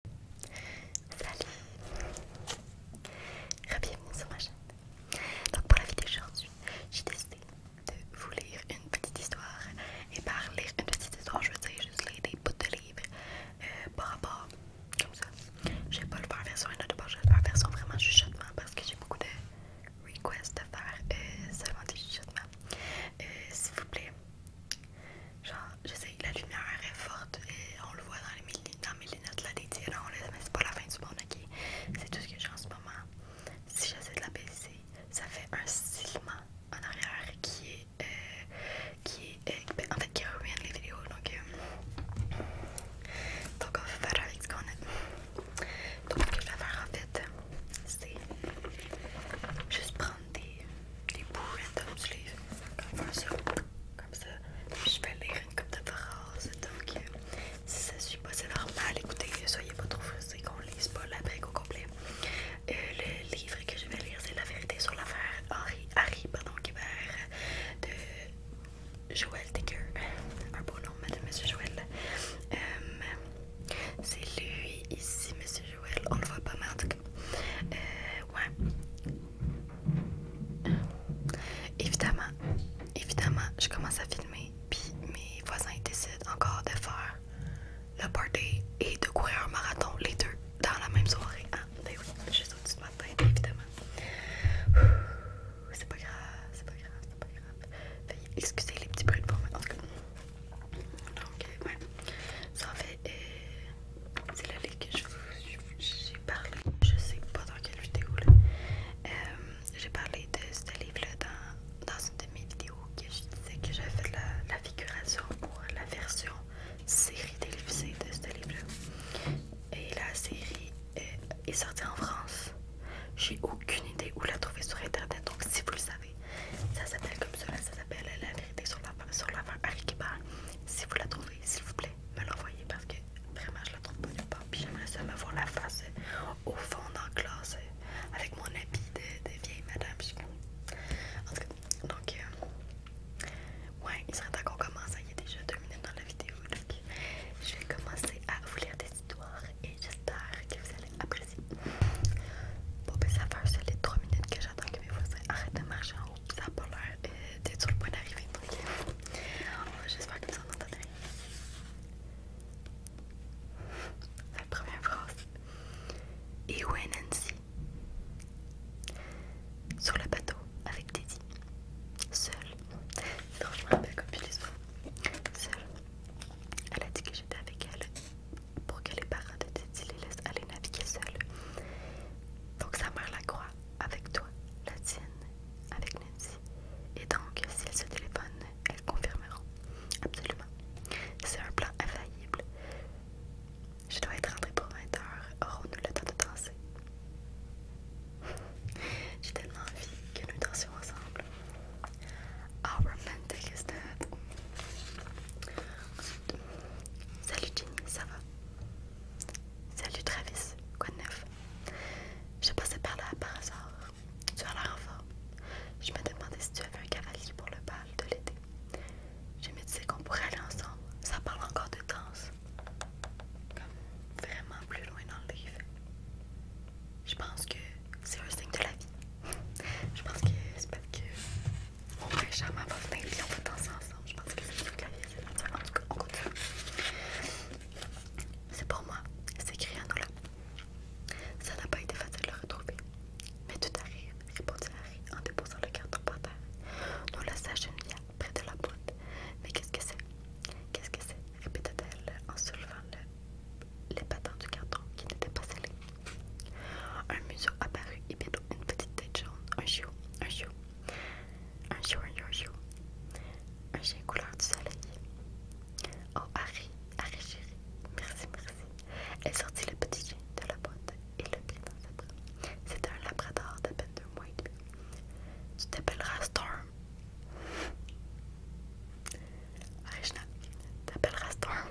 Salut Bienvenue sur ma chaîne Donc pour la vidéo d'aujourd'hui, j'ai décidé de vous lire une petite histoire Et par lire une petite histoire, je veux dire juste lire des bouts de livres euh, par rapport, comme ça Je vais pas le faire version inaudible, je vais le faire version vraiment chuchotement Parce que j'ai beaucoup de requests à faire euh, seulement des chuchotements euh, S'il vous plaît, Genre, je sais la lumière est forte et on le voit dans, les mes lunettes là, des tirants, mais c'est pas la fin du monde, ok? C'est tout ce que j'ai en ce moment. Si j'essaie de la baisser, ça fait un silement en arrière qui est. Euh, qui est. Euh, ben, en fait, qui ruine les vidéos, donc. Euh, donc, on va faire avec ce qu'on a. Donc, ce que faire en fait, c'est juste prendre des, des bouts random comme ça, comme ça, je vais lire une peu de phrases. Donc, si ça suit pas, c'est normal. Écoutez, soyez pas trop frustrés qu'on lise pas la brique au complet. Euh, le livre que je vais lire, c'est La vérité sur l'affaire Harry, Harry pardon, va de Joël Ticker, Un beau nom, madame, monsieur Joël. Euh, c'est lui ici, monsieur on le voit pas, mal, en tout cas. Euh, ouais. Évidemment, évidemment, je commence à filmer, puis mes voisins décident encore de faire le party et de courir un marathon, les deux, dans la même soirée. Ah, ben oui, juste au-dessus de évidemment. C'est pas grave, c'est pas grave, c'est pas grave. excusez les petits bruits de fond, en tout cas. Donc, euh, ouais. Ça en fait. Euh, c'est la ligue que je vous j'ai parlé, je sais pas dans quelle vidéo euh, j'ai parlé de ce livre-là dans, une de mes vidéos que je disais que j'avais fait la, la figuration pour la version série télévisée de ce livre Et la série euh, est, sortie en France. J'ai aucune idée où la trouver sur internet, donc si vous le savez, ça s'appelle comme cela. ça s'appelle La vérité sur la sur Harry si vous la trouvez, s'il vous plaît, me l'envoyez parce que vraiment je la trouve pas nulle part. Puis j'aimerais ça me voir la face au fond dans la classe avec mon habit de, vieille madame. En tout cas, donc, euh, ouais, il serait temps qu'on commence. Il y a déjà deux minutes dans la vidéo. Donc, je vais commencer à vous lire des histoires et j'espère que vous allez apprécier. Bon, ben ça fait un les trois minutes que j'attends que mes voisins arrêtent de marcher en haut ça a pas l'air euh, sur le point d'arriver. Donc, euh, j'espère que vous en comme ça, La première phrase. Et où est Nancy Sur le bateau avec Teddy. Seule. Franchement, elle me comme comme l'ai les Seule. Elle a dit que j'étais avec elle pour que les parents de Titi les laissent aller naviguer seuls. Donc sa mère la croit avec toi, la tienne, avec Nancy. Et donc, si elles se téléphonent, elles confirmeront. Absolument. C'est un plan infaillible. Je dois être rentrée pour 20 h Aurons-nous le temps de danser? J'ai tellement envie que nous dansions ensemble. How romantic is that? Salut Ginny, ça va Salut Travis, quoi de neuf Je passais par là par hasard. Tu as l'air en forme. Je me demandais si tu avais un cavalier pour le bal de l'été. Je me disais qu'on pourrait aller ensemble. Ça parle encore de danse. Comme vraiment plus loin dans le livre. Je pense que c'est un signe de la vie. Je pense que c'est parce que on va venir et on va danser ensemble. Je pense que c'est le vie, c'est En tout cas, on continue. C'est pour moi, s'écria Nola. Ça n'a pas été facile de le retrouver. Mais tout arrive, répondit Harry en déposant le carton par terre. Nola s'agenouilla près de la boîte. Mais qu'est-ce que c'est Qu'est-ce que c'est répétait-elle en soulevant les patins du carton qui n'étaient pas scellés. Un museau apparut et bientôt une petite tête jaune, un chiot, un chiot, un chiot, un chiot, un chiot, chien couleur du soleil. Oh Harry, Harry chérie, merci, merci. Elle sortit le petit chien de la boîte et le prit dans ses bras. C'était un labrador d'à peine deux mois et Tu t'appelleras Storm. Regina, t'appelleras Storm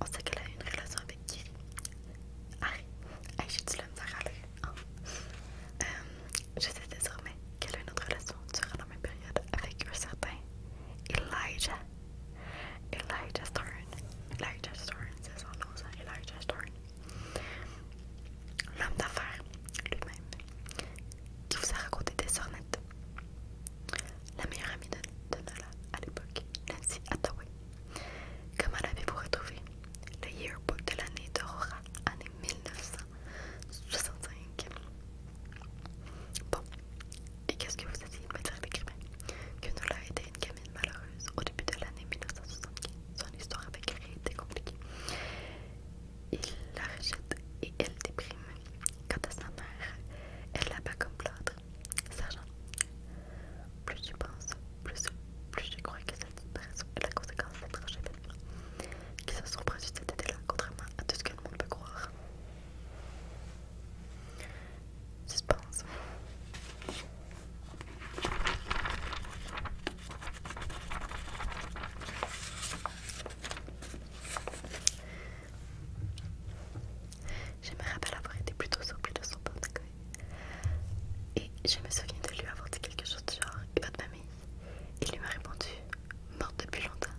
on sait qu'elle a une relation avec qui? arrête j'ai le me hein. euh, je sais désormais qu'elle a une autre relation durant la même période avec un certain Elijah. Elijah Stern. Elijah Stern, c'est son nom, ça. Elijah Stern. L'homme d'affaires lui-même qui vous a raconté des sornettes. La meilleure amie de, Nala Nola à l'époque, Nancy Attaway Comment l'avez-vous retrouvé? Le yearbook de l'année d'Aurora, année 1965. Bon, et qu'est-ce que vous essayez de me dire l'écrivain? Que Nola été une gamine malheureuse au début de l'année 1975. Son histoire avec Rita était compliquée. Il la rejette et elle déprime. Quant à sa mère, elle la pas comme l'autre Sergent, plus tu penses, plus, plus je crois que cette disparition est la conséquence d'un événements qui se sont produites cet été-là, contrairement à tout ce que le monde peut croire. Suspense. Je me rappelle avoir été plutôt surpris de son portefeuille. Et je me souviens de lui avoir dit quelque chose du genre Et votre mamie, Il lui m'a répondu Morte depuis longtemps.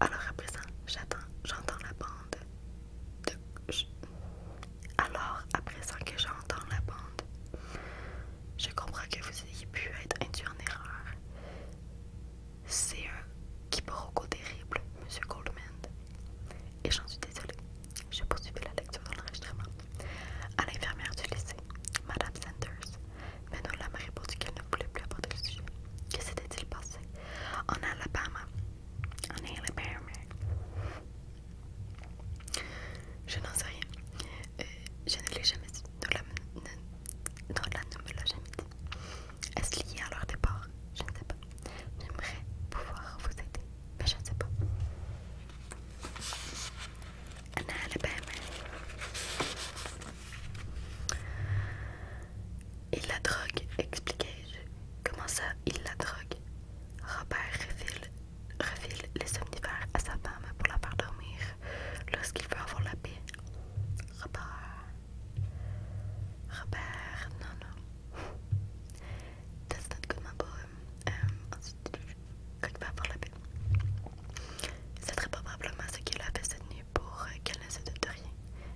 Alors à présent, j'attends, j'entends la bande Alors à présent que j'entends la bande, je comprends que vous ayez pu être induit en erreur. C'est un quiproquo terrible, monsieur Goldman. Et j'en suis désolée. Je poursuivais la lecture dans l'enregistrement. À l'infirmière du lycée, Madame Sanders, mais Manola m'a répondu qu'elle ne voulait plus aborder le sujet. Que s'était-il passé en Alabama? En Alabama. Je n'en sais rien. Euh, je ne l'ai jamais dit. Non, ne me l'a jamais dit. Est-ce lié à leur départ Je ne sais pas. J'aimerais pouvoir vous aider, mais je ne sais pas. est على بالي Il la drogue, expliquez je Comment ça, il la drogue Robert refile, les somnifères à sa femme pour la faire dormir lorsqu'il veut avoir la paix. Robert, Robert, non, non. Um, C'est très probablement ce qu'il a fait cette nuit pour qu'elle ne se doute de rien.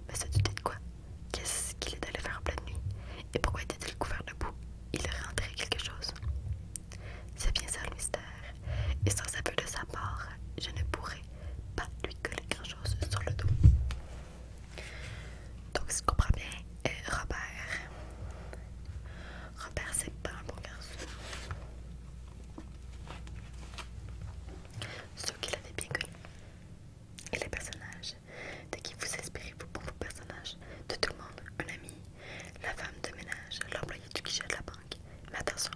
Mais se douter de quoi Qu'est-ce qu'il est allé faire en pleine nuit Et pourquoi était-il couvert de boue Il aurait enterré quelque chose. C'est bien ça le mystère. Et sans peu de sa part, je ne pourrais pas lui que grand chose sur le dos. Donc ce je comprends bien, est Robert. Robert c'est pas un bon garçon. Ceux qui l'avaient bien connu. Et les personnages. De qui vous inspirez-vous pour vos personnages De tout le monde, un ami, la femme de ménage, l'employé du guichet de la banque. Mais attention,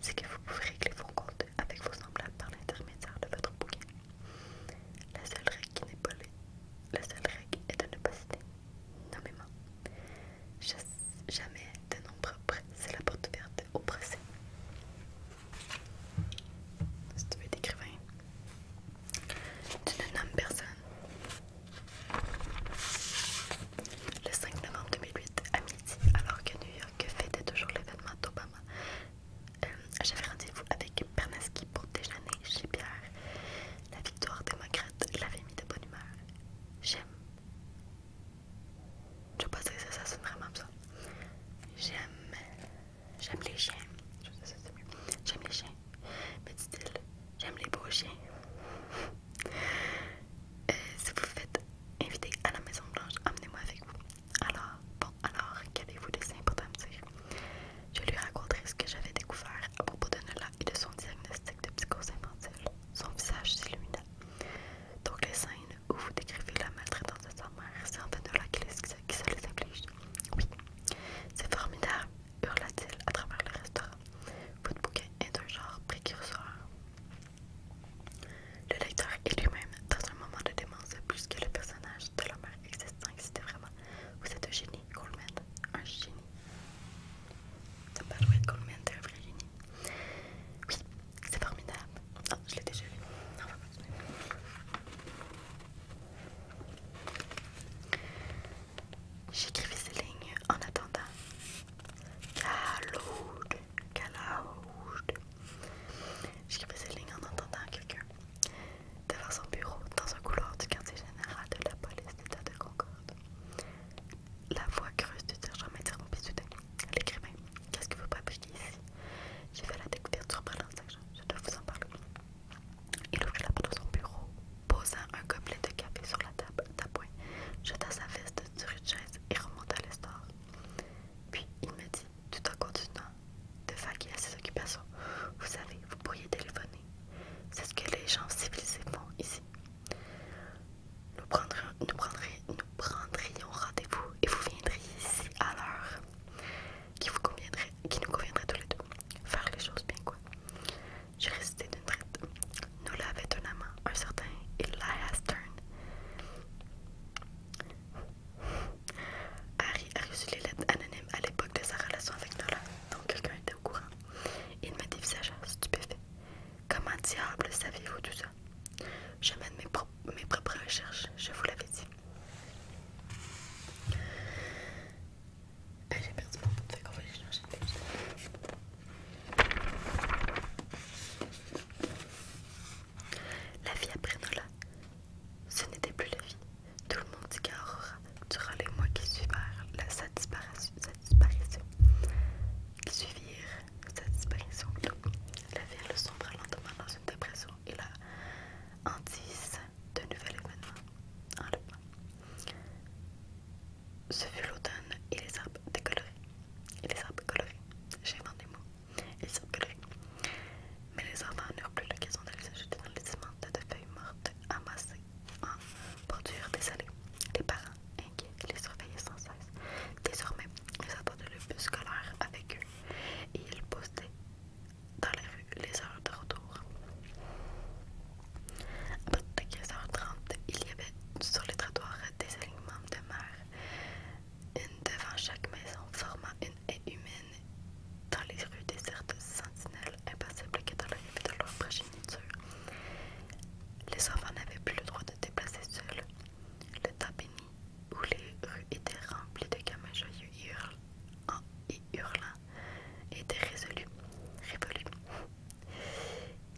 c'est que vous pouvez régler vos comptes avec vos semblables par l'intermédiaire de votre bouquin. La seule règle qui n'est pas la seule règle est de ne pas citer nommément. Jamais de nombreux propre, c'est la porte ouverte au procès. Si tu veux être écrivain, tu ne nommes personne le 5 novembre 2008 à midi, alors que New York fêtait toujours l'événement d'Obama. Euh, j'avais rendez-vous avec Berneski pour déjeuner chez Pierre. La victoire démocrate l'avait mis de bonne humeur. J'aime. Je sais pas si ça, sonne vraiment ça. J'aime. J'aime les chiens. J'aime les chiens. Petit dit-il, j'aime les beaux chiens. Euh, si vous faites invité à la Maison Blanche, emmenez-moi avec vous. Alors, bon, alors, qu'avez-vous laissé pour à me dire? Je lui raconterai ce que j'avais découvert à propos de Nola et de son diagnostic de psychose infantile. Son visage s'illumina. Donc les scènes où vous décrivez la maltraitance de sa mère, c'est en fait qui, qui se les Oui. C'est formidable, hurla-t-il à travers le restaurant. Votre bouquin est un genre précurseur. Le lecteur est lui-même dans un moment de démence plus que le personnage de l'homme existant existait vraiment. Vous êtes un génie, Coleman, un génie. C'est pas Coleman, un vrai génie. Oui, c'est formidable. Non, je l'ai déjà vu. J'écrivais ces lignes en attendant. J'écris ces lignes en entendant quelqu'un devant son bureau, dans un couloir du quartier général de la police d'État de Concorde. La voix creuse du sergent m'interrompit soudain. L'écrivain, qu'est-ce que vous publier ici J'ai fait la découverte surprenante, sergent. Je dois vous en parler. Il ouvrit la porte de son bureau, posant un gobelet de café sur la table, d'appoint, jeta sa veste sur une chaise et remonta à l'histoire. Puis il me dit, tout en continuant de vaguer à ses occupations, vous savez, vous pourriez téléphoner. C'est ce que les gens civilisés font ici. Nous prendrions, nous nous prendrions rendez-vous et vous viendriez ici à l'heure qui vous conviendrait, qui nous conviendrait tous les deux. Faire les choses bien quoi. J'ai résisté d'une traite avait un amant, un certain Elias Harry a reçu les lettres anonymes à l'époque de sa relation avec Nola, donc quelqu'un était au courant. Il me dévisagea stupéfait. Comment diable saviez-vous tout ça Je mène mes, propres recherches, je vous l'avais dit. J'ai perdu mon va la vie après Nola. Ce n'était plus la vie. Tout le monde dit qu'Aurora, durant les mois qui suivirent la, sa, disparition, sa disparition, qui suivirent sa disparition, la le sombre lentement dans une dépression et la hantise de nouvel événement, enlèvement. Ce fut l'automne et les arbres décolorés. Et les arbres colorés. J'ai vendu des mots. Et les arbres Mais les enfants n'eurent plus l'occasion d'aller se jeter dans les cimentes de feuilles mortes amassées en bordure désolée. Les parents, inquiets, les surveillaient sans cesse. Désormais, ils attendaient le bus scolaire avec eux et ils postaient dans les rues les heures de retour. À partir de 15h30, il y avait sur les trottoirs des alignements de mer, une devant chaque maison, formant une haie humaine dans les rues désertes sentinelles, impassibles, que dans de leur progéniture. Les enfants n'avaient plus le droit de déplacer seuls. Le temps béni, où les rues étaient remplies de gamins joyeux et hurlant, était résolu,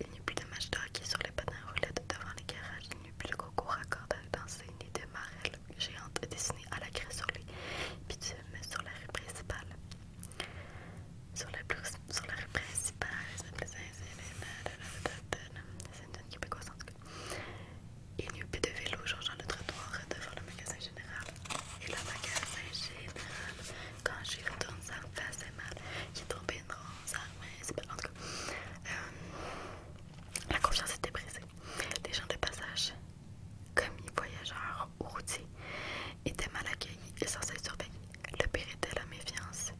il n'y a plus de match de sur les patins roulettes devant les garages, il n'y a plus de coco à cordes à danser, ni de marée géante dessinée à la craie sur les bitumes sur la rue principale. Sur la, plus, sur la rue principale, c'est une québécoise en tout Il n'y a plus de vélo changeant le trottoir devant le magasin général. Et le magasin général, quand j'y retourne, ça me assez mal. est tombé une bronze à la main. Euh, la confiance était brisée. Les gens de passage, commis, voyageurs ou routiers, étaient mal accueillis et censés surveiller Le pire était la méfiance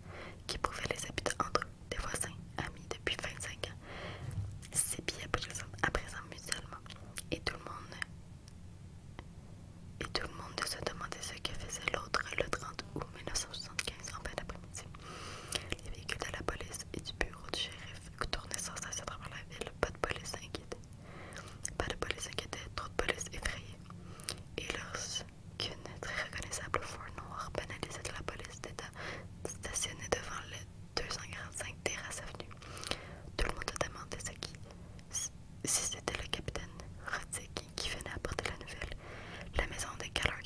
qui pouvait les habiter entre des voisins, amis depuis 25 ans, bien à présent mutuellement. Et tout le monde et tout le monde se demandait ce que faisait l'autre le 30 août. En 1975 en fin d'après-midi. Les véhicules de la police et du bureau du shérif tournaient sans cesse à travers la ville. Pas de police inquiétait. Pas de police inquiétait, trop de police effrayée. Et lorsqu'une très reconnaissable four noir banalisée de la police d'État stationnée devant les 245 Terrasse Avenue, tout le monde a demandé ce qui, si c'était le capitaine Roddick qui, venait apporter la nouvelle. La maison de Callaghan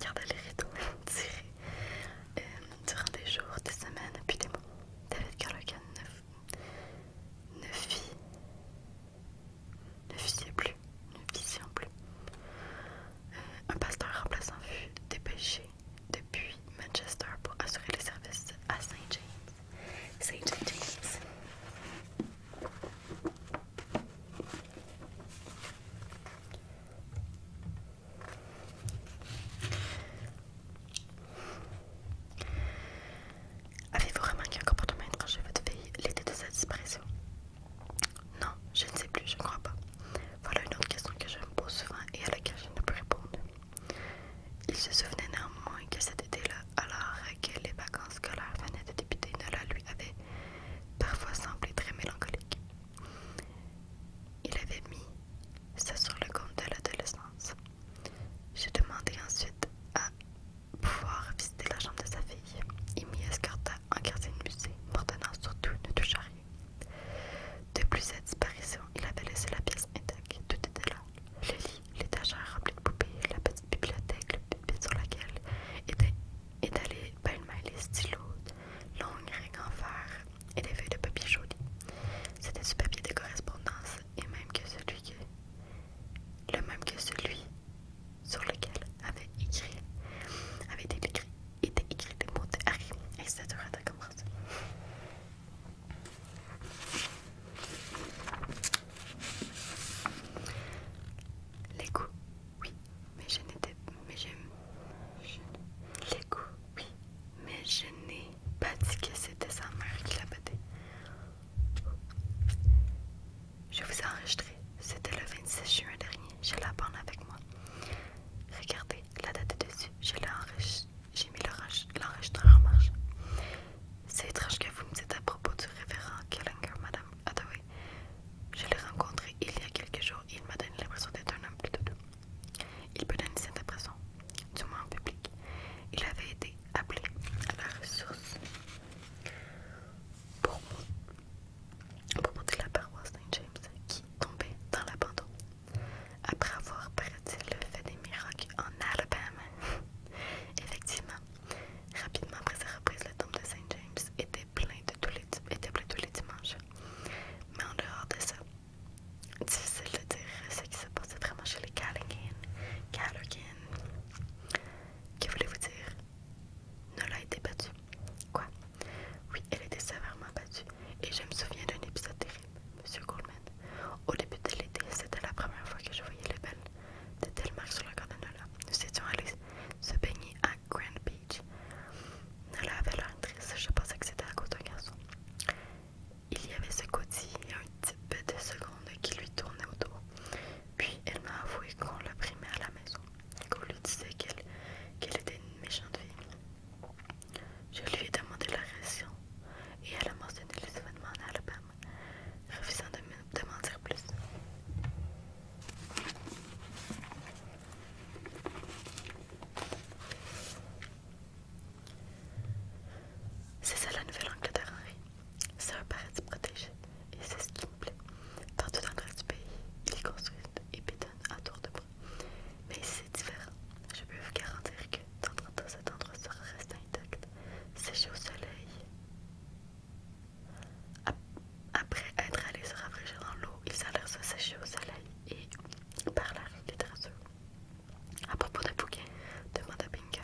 gardait les rideaux tirés euh, durant des jours, des semaines, puis des mois. David Carlogan ne, filles, fit ne plus, ne vision plus. Euh, un pasteur remplaçant fut dépêché depuis Manchester pour assurer les services à Saint James. Satan teas. Avez-vous remarqué un comportement quand chez votre fille l'été de sa disparition Non, je ne sais plus, je ne crois pas. Voilà une autre question que je me pose souvent et à laquelle je ne peux répondre. Il se souvenait néanmoins que cet été-là, alors que les vacances scolaires venaient de débuter, Nola lui avait parfois semblé très mélancolique. Il avait mis ça sur le compte de l'adolescence. J'ai demandé ensuite à pouvoir visiter la chambre de sa fille. Il m'y escorta en quartier de musée, m'ordonnant surtout ne touche à rien. Depuis sa disparition, il avait laissé la pièce intacte, tout était là l'étagère remplie de poupées, la petite bibliothèque, le sur laquelle était étalée une maille, les stylos, longues règles en fer et des feuilles de papier joli. C'était ce papier de correspondance et même que celui le même que celui sur lequel avait écrit, avait été écrit, était écrit des mots de Harry, etc. Les goûts, oui, mais je mais je n'ai pas dit que c'était sa mère qui l'a battu. Je vous ai enregistré. C'était le 26 juin dernier. Je la bande avec moi. Regardez, la date dessus. Je l'ai enregistré. J'ai mis l'enregistreur en marche. C'est étrange que vous me dites à propos du révérend Kellinger, Madame Hathaway. Je l'ai rencontré il y a quelques jours et il m'a donné l'impression d'être un homme plutôt doux. Il peut donner cette impression, du moins en public. Il avait été appelé à la ressource pour, mon... pour la paroisse Saint James qui tombait dans l'abandon après avoir, prédit le fait des miracles en Alabama. Effectivement, rapidement après sa reprise, le temple de saint James était plein, de tous les, tous les dimanches. Mais en dehors de ça, difficile de dire ce qui se passait vraiment chez les Callaghan. Callaghan. Que voulez-vous dire? Nola a été battue. Quoi? Oui, elle a été sévèrement battue. Et je me souviens d'un épisode terrible. Monsieur Goldman au début de l'été, c'était la première fois que je voyais les belles de marque sur le corps de Nous étions allés se baigner à Grand Beach. Nola avait l'air triste, je pensais que c'était à côté d'un garçon. Il y avait ce côté a un type de seconde qui lui tournait autour. Puis elle m'a avoué qu'on la primait à la maison, qu'on lui disait qu'elle était une méchante fille. Je lui ai demandé la raison et elle a mentionné les événements en Alabama, refusant de, mentir plus. C'est ça la Nouvelle-Angleterre, Henri. C'est un paradis protégé et c'est ce qui me plaît. Dans tout reste du pays, il construit et bétonne à tour de bras. Mais ici, c'est différent. Je peux vous garantir que dans 30 ans, cet endroit sera resté intact sécher au soleil. Après être allé se rafraîchir dans l'eau, ils allèrent se sécher au soleil et parlèrent littérature. À propos de Bouquet, à Pinka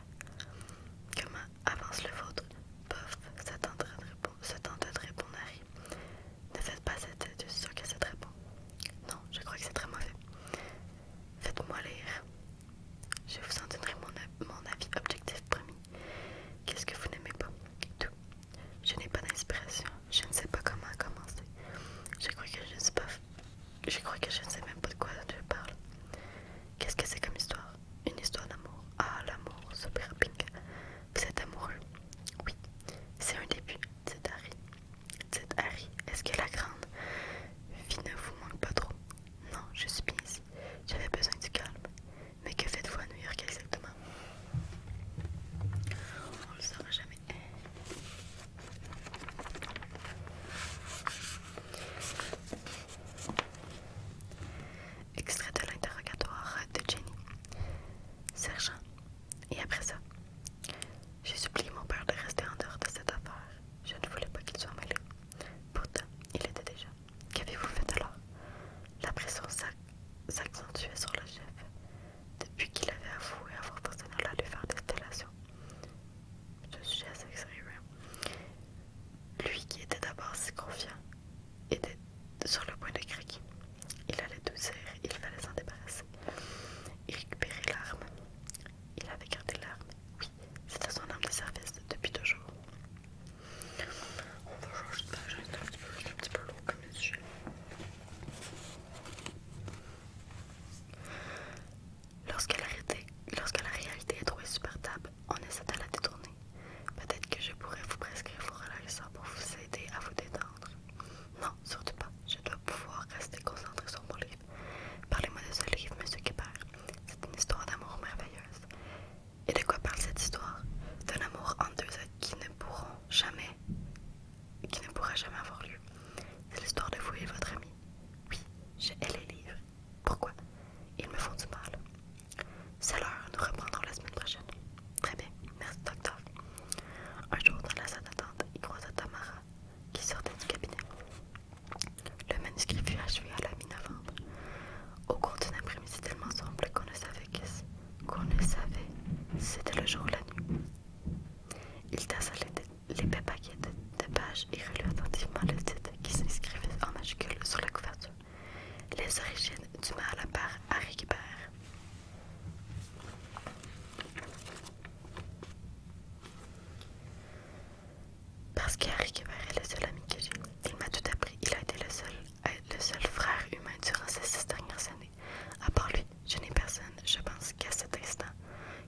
Comment avance le vôtre Bof, se tenta de répondre Ne faites pas cette étude, sûr que c'est très bon. Non, je crois que c'est très mauvais. Faites-moi lire. Je vous en donnerai mon, avis objectif premier Qu'est-ce que vous n'aimez pas Tout. Je n'ai pas d'inspiration. Je ne sais pas comment commencer. Je crois que je ne sais pas. Je crois que je ne sais même pas de quoi je parle. Qu'est-ce que c'est comme histoire Une histoire d'amour. Ah, l'amour, super pink. Vous êtes amoureux Oui. C'est un début, c'est arrêt Dites Harry, est-ce que la grande vie ne vous manque pas trop Non, je suis ici. J'avais besoin du calme. Mais que faites-vous à New York exactement On le saura jamais. Extrait de l'interrogatoire de Jenny. Sergent. Et après ça j'ai supplié mon père de rester en dehors de cette affaire. Je ne voulais pas qu'il soit mêlé. Pourtant, il était déjà. Qu'avez-vous fait alors La pression s'accentuait sur le chef, depuis qu'il avait avoué avoir personnel à lui faire des stellations. Je suis assez sérieux. Lui qui était d'abord si confiant était sur le point de craquer. Il allait tout il fallait s'en débarrasser Il récupérait l'arme. Il avait gardé l'arme, oui, c'était son arme de service depuis jours. On va changer de page, c'est un un comme Lorsque la, réalité, est trop insupportable, on essaie de la détourner. Peut-être que je pourrais vous prescrire vos relaxants pour vous aider à vous détendre. Non, surtout pas. Je dois pouvoir rester concentré sur mon livre. Parlez-moi de ce livre, monsieur Guibert. C'est une histoire d'amour merveilleuse. Et de quoi parle cette histoire D'un amour entre deux êtres qui ne pourront jamais, qui ne pourra jamais avoir lieu. C'est l'histoire de vous et votre ami. Oui, je hais les livres. Pourquoi Ils me font du mal. C'est l'heure, nous reprendrons la semaine prochaine. Très bien, merci docteur. Un jour, dans la salle d'attente, il croisa Tamara qui sortait du cabinet. Le manuscrit fut achevé à la mi-novembre. Au cours d'une après tellement simple qu'on ne savait qu'on ne savait c'était le jour ou la nuit. Il tassa les paquet de, de pages et relut attentivement le titre qui s'inscrivait en majuscule sur la couverture. Les origines du mal part à récupérer. Parce qu'il a récupéré le seul ami que j'ai. Il m'a tout appris. Il a été le seul, euh, le seul frère humain durant ces six dernières années. À part lui, je n'ai personne. Je pense qu'à cet instant,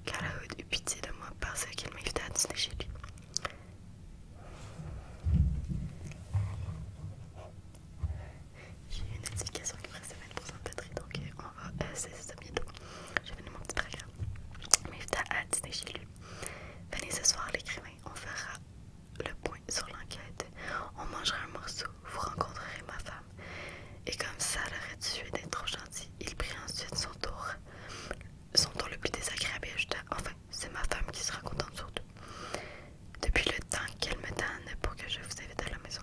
Carl-Hood eut pitié de moi parce qu'il m'invitait à dîner chez lui. J'ai une notification qui me reste mettre de batterie, donc euh, euh, c'est Je vais mon petit programme. Mais à dîner chez lui. Venez ce soir, l'écrivain, on fera le point sur l'enquête. On mangera un morceau, vous rencontrerez ma femme. Et comme ça l'aurait tué d'être trop gentil, il prit ensuite son tour. Son tour le plus désagréable et Enfin, c'est ma femme qui sera contente surtout. Depuis le temps qu'elle me donne pour que je vous invite à la maison,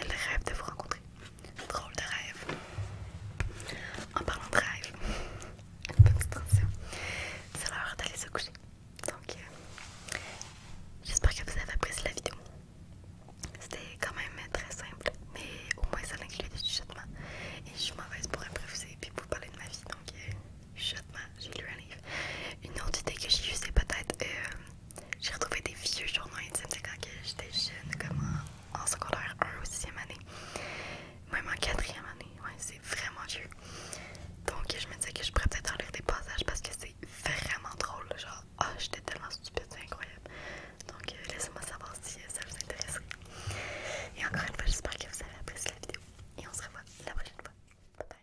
elle rêve de vous rencontrer. Drôle de rêve. En parlant de rêve, une petite C'est l'heure d'aller se coucher. Donc, euh, j'espère que vous avez apprécié la vidéo. C'était quand même très simple, mais au moins ça inclut du chatman Et je suis mauvaise pour improviser et vous parler de ma vie. Donc, euh, chatman, j'ai lu un livre. Une autre idée que j'ai eue, c'est peut-être. Euh, j'ai retrouvé des vieux journaux intimes, quand j'étais jeune, comment en secondaire 1 ou 6e année. Même en 4e année, c'est vraiment vieux. Donc je me disais que je pourrais peut-être en lire des passages parce que c'est vraiment drôle. Genre, oh, j'étais tellement stupide, c'est incroyable. Donc euh, laissez-moi savoir si euh, ça vous intéresse. Et encore une fois, j'espère que vous avez apprécié la vidéo. Et on se revoit la prochaine fois. Bye bye.